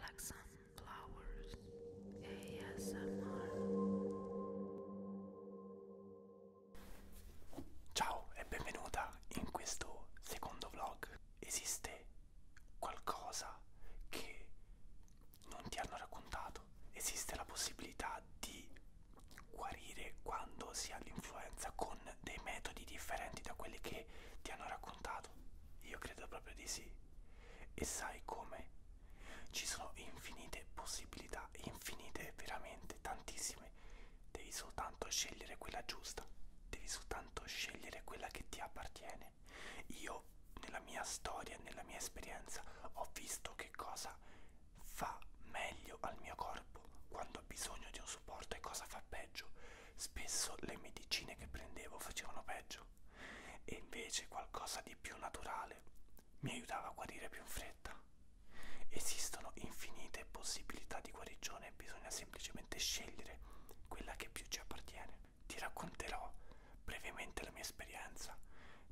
Like Sunflowers ASMR Ciao e benvenuta in questo secondo vlog. Esiste qualcosa che non ti hanno raccontato? Esiste la possibilità di guarire quando si ha l'influenza con dei metodi differenti da quelli che ti hanno raccontato? Io credo proprio di sì. E sai come? Ci sono infinite possibilità, infinite veramente, tantissime. Devi soltanto scegliere quella giusta, devi soltanto scegliere quella che ti appartiene. Io nella mia storia, nella mia esperienza, ho visto che cosa fa meglio al mio corpo quando ho bisogno di un supporto e cosa fa peggio spesso le medicine che prendevo facevano peggio e invece qualcosa di più naturale mi aiutava a guarire più in fretta. Esistono infinite possibilità di guarigione, bisogna semplicemente scegliere quella che più ci appartiene. Ti racconterò brevemente la mia esperienza.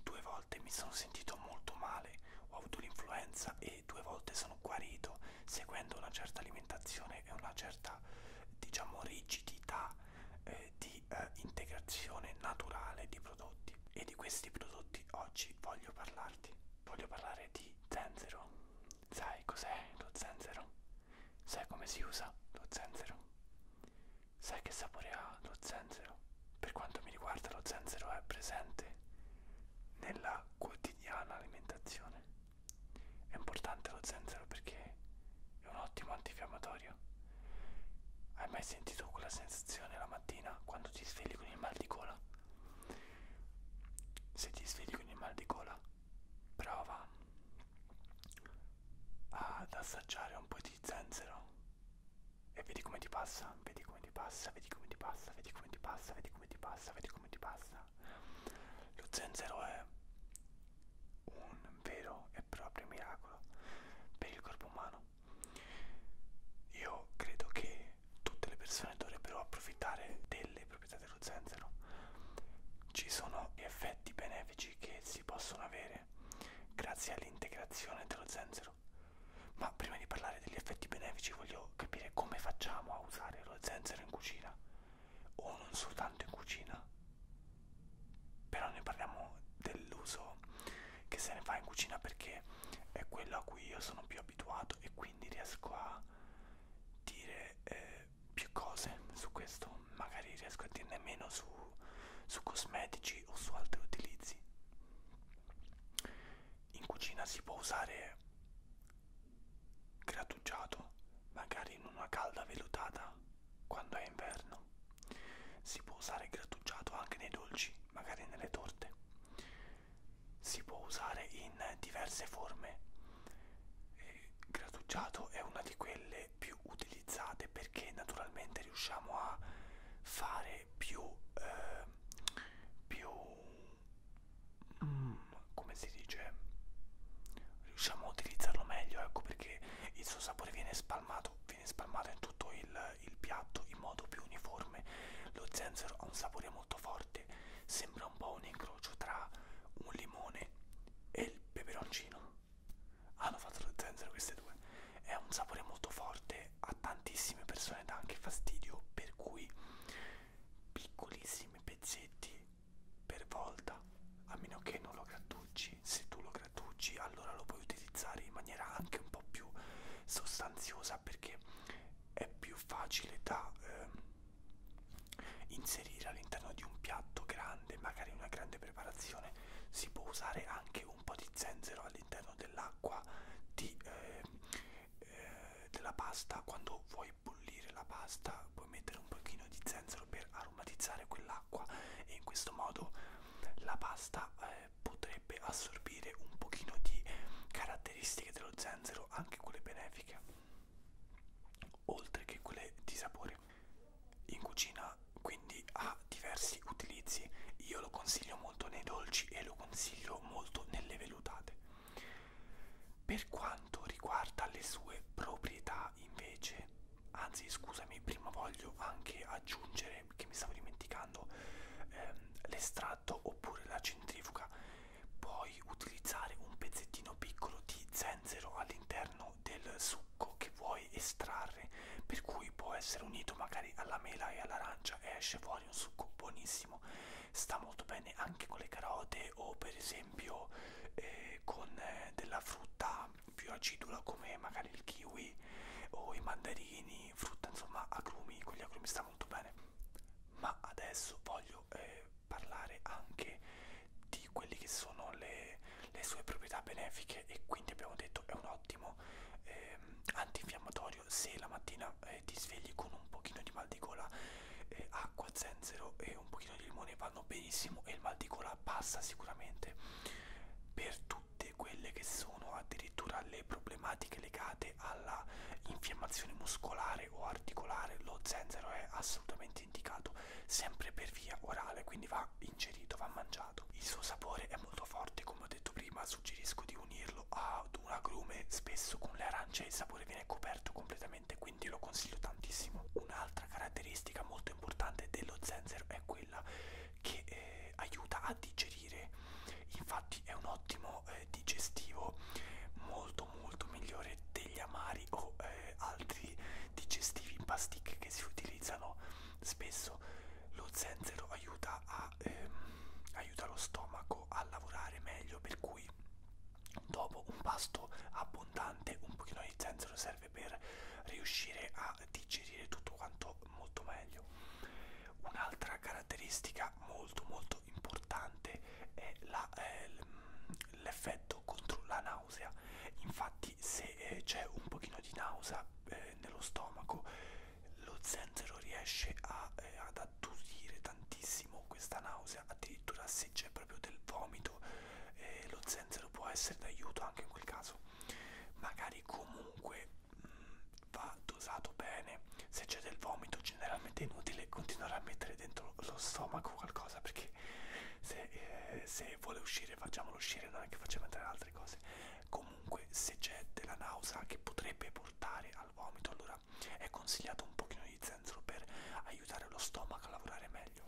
Due volte mi sono sentito molto male, ho avuto l'influenza e due volte sono sono guarito seguendo una certa alimentazione e una certa diciamo rigidità eh, di eh, integrazione naturale di prodotti e di questi prodotti oggi voglio parlarti voglio parlare di zenzero sai cos'è lo zenzero sai come si usa lo zenzero sai che sapore ha lo zenzero per quanto mi riguarda lo zenzero è presente nella quotidiana alimentazione è importante lo zenzero perché è un ottimo antinfiammatorio. Hai mai sentito quella sensazione la mattina quando ti svegli con il mal di gola? Se ti svegli con il mal di gola, prova ad assaggiare un po' di zenzero e vedi come ti passa, vedi come ti passa, vedi come ti passa, vedi come ti passa, vedi come ti passa, vedi come ti passa. Lo zenzero è un vero e proprio miracolo per il corpo umano. Io credo che tutte le persone dovrebbero approfittare delle proprietà dello zenzero. Ci sono effetti benefici che si possono avere grazie all'integrazione dello zenzero. Ma prima di parlare degli effetti benefici voglio capire come facciamo a usare lo zenzero in cucina o non soltanto in cucina però ne parliamo dell'uso che se ne fa in cucina perché è quello a cui io sono più abituato e quindi riesco a dire eh, più cose su questo magari riesco a dirne meno su, su cosmetici o su altri utilizzi in cucina si può usare Grattugiato, magari in una calda vellutata, quando è inverno. Si può usare grattugiato anche nei dolci, magari nelle torte. Si può usare in diverse forme. E grattugiato è una di quelle più utilizzate perché naturalmente riusciamo a fare più, eh, più mm, come si dice riusciamo a utilizzarlo meglio ecco perché il suo sapore viene spalmato viene spalmato in tutto il, il piatto in modo più uniforme lo zenzero ha un sapore molto forte sembra un po' un incrocio tra un limone e il peperoncino hanno fatto lo zenzero queste due è un sapore molto forte a tantissime persone dà anche fastidio per cui piccolissimi pezzetti per volta a meno che non lo grattucci se tu lo grattucci allora lo puoi utilizzare in maniera anche un po' più sostanziosa perché è più facile da eh, inserire all'interno di un piatto grande magari una grande preparazione si può usare anche un po' di zenzero all'interno dell'acqua di eh, eh, della pasta, quando vuoi bollire la pasta puoi mettere un pochino di zenzero per aromatizzare quell'acqua e in questo modo la pasta eh, potrebbe assorbire un pochino di caratteristiche dello zenzero, anche quelle benefiche, oltre che quelle di sapore. In cucina quindi ha diversi utilizzi, io lo consiglio molto nei dolci e lo consiglio molto nelle velutate. Per quanto riguarda le sue proprietà invece, anzi scusami, prima voglio anche aggiungere che mi stavo dimenticando ehm, l'estratto oppure la centrifuga, puoi utilizzare un pezzettino piccolo di zenzero all'interno del succo che vuoi estrarre, per cui può essere unito magari alla mela e all'arancia e esce fuori un succo buonissimo sta molto bene anche con le carote o per esempio eh, con eh, della frutta più acidula come magari il kiwi o i mandarini, frutta insomma agrumi, con gli agrumi sta molto bene. Ma adesso voglio eh, parlare anche di quelle che sono le, le sue proprietà benefiche e quindi abbiamo detto è un ottimo eh, antinfiammatorio laboratorio se la mattina eh, ti svegli con un pochino di mal di gola eh, acqua, zenzero e un pochino di limone vanno benissimo e il mal di gola passa sicuramente per tutte quelle che sono addirittura le problematiche legate alla infiammazione muscolare o articolare lo zenzero è assolutamente indicato sempre per via orale quindi va ingerito va mangiato il suo sapore è molto forte come ho detto prima suggerisco di unirlo ad un agrume spesso con le arance il sapore viene coperto completamente quindi lo consiglio tantissimo un'altra caratteristica molto importante dello zenzero è quella che eh, aiuta a digerire infatti è un ottimo eh, digestivo molto molto migliore degli amari o eh, altri digestivi in pasticche che si utilizzano spesso lo zenzero aiuta a aiuta, eh, aiuta lo stomaco a lavorare meglio per cui dopo un pasto abbondante un pochino di zenzero serve per riuscire a digerire tutto quanto molto meglio un'altra caratteristica molto molto importante è ehm, l'effetto eh, contro la nausea infatti se eh, c'è un pochino di nausea eh, nello stomaco lo zenzero riesce a, eh, ad attutire tantissimo questa nausea, addirittura se c'è proprio del vomito eh, lo zenzero può essere d'aiuto anche in quel caso. Magari comunque mh, mm, va dosato bene, se c'è del vomito generalmente è inutile continuare a mettere dentro lo stomaco qualcosa perché se, eh, se vuole uscire facciamolo uscire, non è che facciamo entrare altre cose. Comunque se c'è della nausea che potrebbe portare al vomito allora dieta è consigliato un pochino di zenzero per aiutare lo stomaco a lavorare meglio.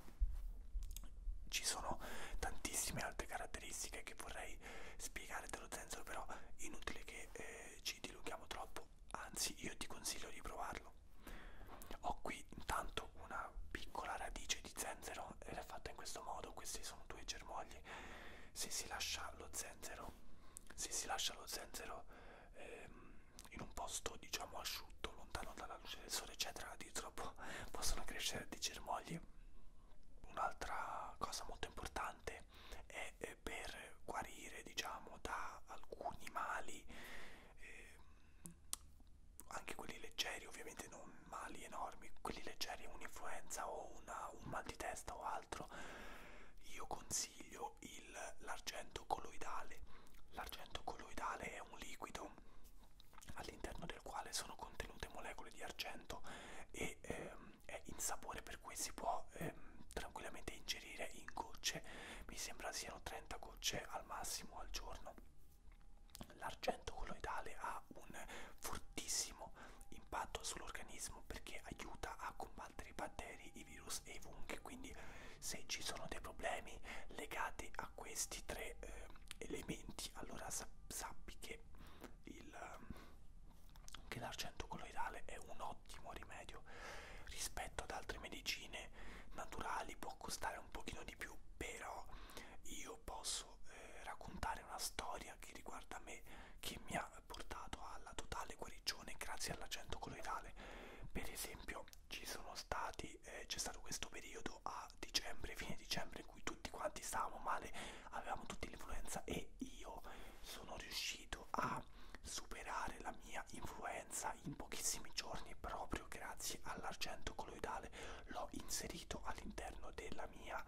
Ci sono tantissime altre caratteristiche che vorrei spiegare dello zenzero, però inutile che eh, ci dilunghiamo troppo, anzi io ti consiglio di provarlo. Ho qui intanto una piccola radice di zenzero ed è fatta in questo modo, questi sono due germogli se si lascia lo zenzero, se si lascia lo zenzero ehm, in un posto diciamo asciutto, lontano dalla luce del sole, eccetera, addirittura possono crescere dei germogli. Un'altra cosa molto importante è eh, per guarire diciamo da alcuni mali, eh, anche quelli leggeri, ovviamente non mali enormi, quelli leggeri, un'influenza o una, un mal di testa o altro altro io consiglio l'argento colloidale l'argento colloidale è un liquido all'interno del quale sono contenute molecole di argento e ehm, è insapore per cui si può ehm, tranquillamente ingerire in gocce mi sembra siano 30 gocce al massimo al giorno l'argento colloidale ha un fortissimo ottimo impatto sull'organismo perché aiuta a combattere i batteri, i virus e i funghi. Quindi se ci sono dei problemi legati a questi tre eh, elementi, allora sappi che, che l'argento colloidale è un ottimo rimedio rispetto ad altre medicine naturali, può costare un pochino di più, però io posso eh, raccontare una storia che riguarda me che mi ha portato alla totale guarigione grazie all'agente coloidale. Per esempio, ci sono stati, eh, c'è stato questo periodo a dicembre, fine dicembre, in cui tutti quanti stavamo male, avevamo tutti l'influenza e io sono riuscito a superare la mia influenza in pochissimi giorni proprio grazie all'argento coloidale l'ho inserito all'interno della mia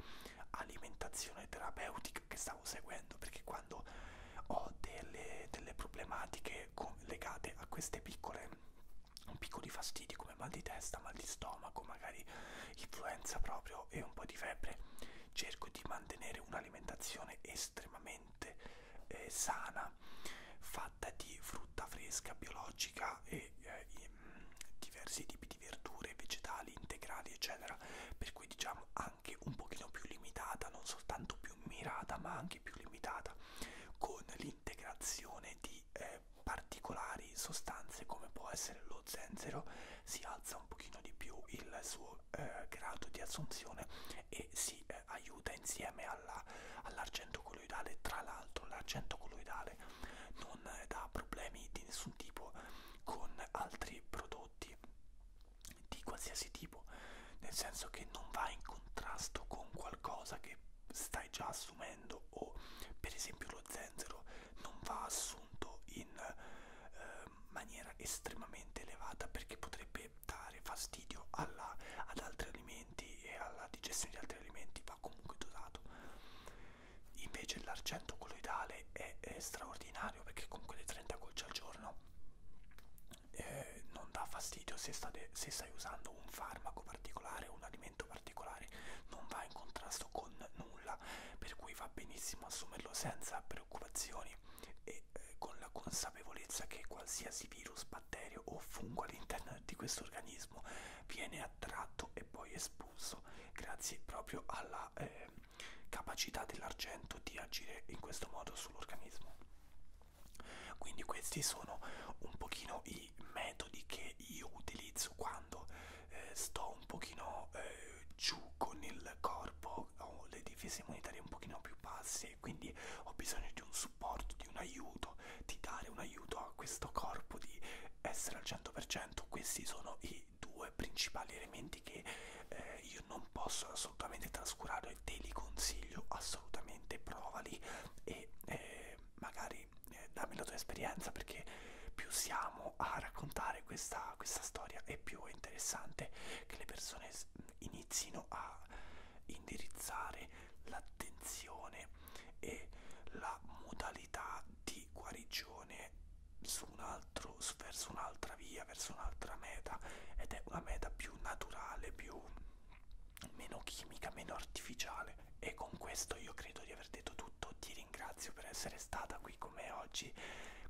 alimentazione terapeutica che stavo seguendo perché quando ho delle, delle problematiche legate a queste piccole piccoli fastidi come mal di testa, mal di stomaco, magari influenza proprio e un po' di febbre, cerco di mantenere un'alimentazione estremamente eh, sana, fatta di frutta fresca, biologica e eh, diversi tipi di verdure, vegetali, integrali, eccetera, per per cui diciamo anche un pochino più limitata, non soltanto più mirata ma anche più limitata, con l'integrazione di eh, particolari sostanze come può essere lo zenzero, si alza un pochino di più il suo eh, grado di assunzione e si eh, aiuta insieme all'argento all colloidale, tra l'altro l'argento colloidale non eh, dà problemi di nessun tipo con altri prodotti di qualsiasi tipo, nel senso che non va in contrasto con qualcosa che stai già assumendo o per esempio lo zenzero non va assunto in eh, maniera estremamente elevata perché potrebbe dare fastidio alla, ad altri alimenti e alla digestione di altri alimenti, va comunque dosato. Invece l'argento colloidale è, è straordinario perché comunque le 30 gocce al giorno eh, non dà fastidio se, state, se stai usando un farmaco particolare, un alimento particolare, non va in contrasto con nulla, per cui va benissimo assumerlo senza preoccupazioni e eh, con la consapevolezza che qualsiasi virus, batterio o fungo all'interno di questo organismo viene attratto e poi espulso grazie proprio alla... Eh, capacità dell'argento di agire in questo modo sull'organismo. Quindi questi sono un pochino i metodi che io utilizzo quando eh, sto un pochino eh, giù con il corpo, ho le difese immunitarie un pochino più basse e quindi ho bisogno di un supporto, di un aiuto, di dare un aiuto a questo corpo, di essere al 100%. Questi sono i questi due principali elementi che eh, io non posso assolutamente trascurare, te li consiglio assolutamente, provali e eh, magari eh, dammi la tua esperienza perché più siamo a raccontare questa, questa storia e più è interessante che le persone inizino a indirizzare l'attenzione e la modalità di guarigione su un altro, verso un'altra via, verso un'altra meta ed è una meta più naturale, più meno chimica, meno artificiale e con questo io credo di aver detto tutto, ti ringrazio per essere stata qui con me oggi,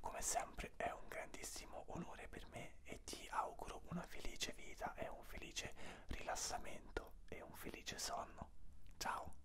come sempre è un grandissimo onore per me e ti auguro una felice vita e un felice rilassamento e un felice sonno. Ciao!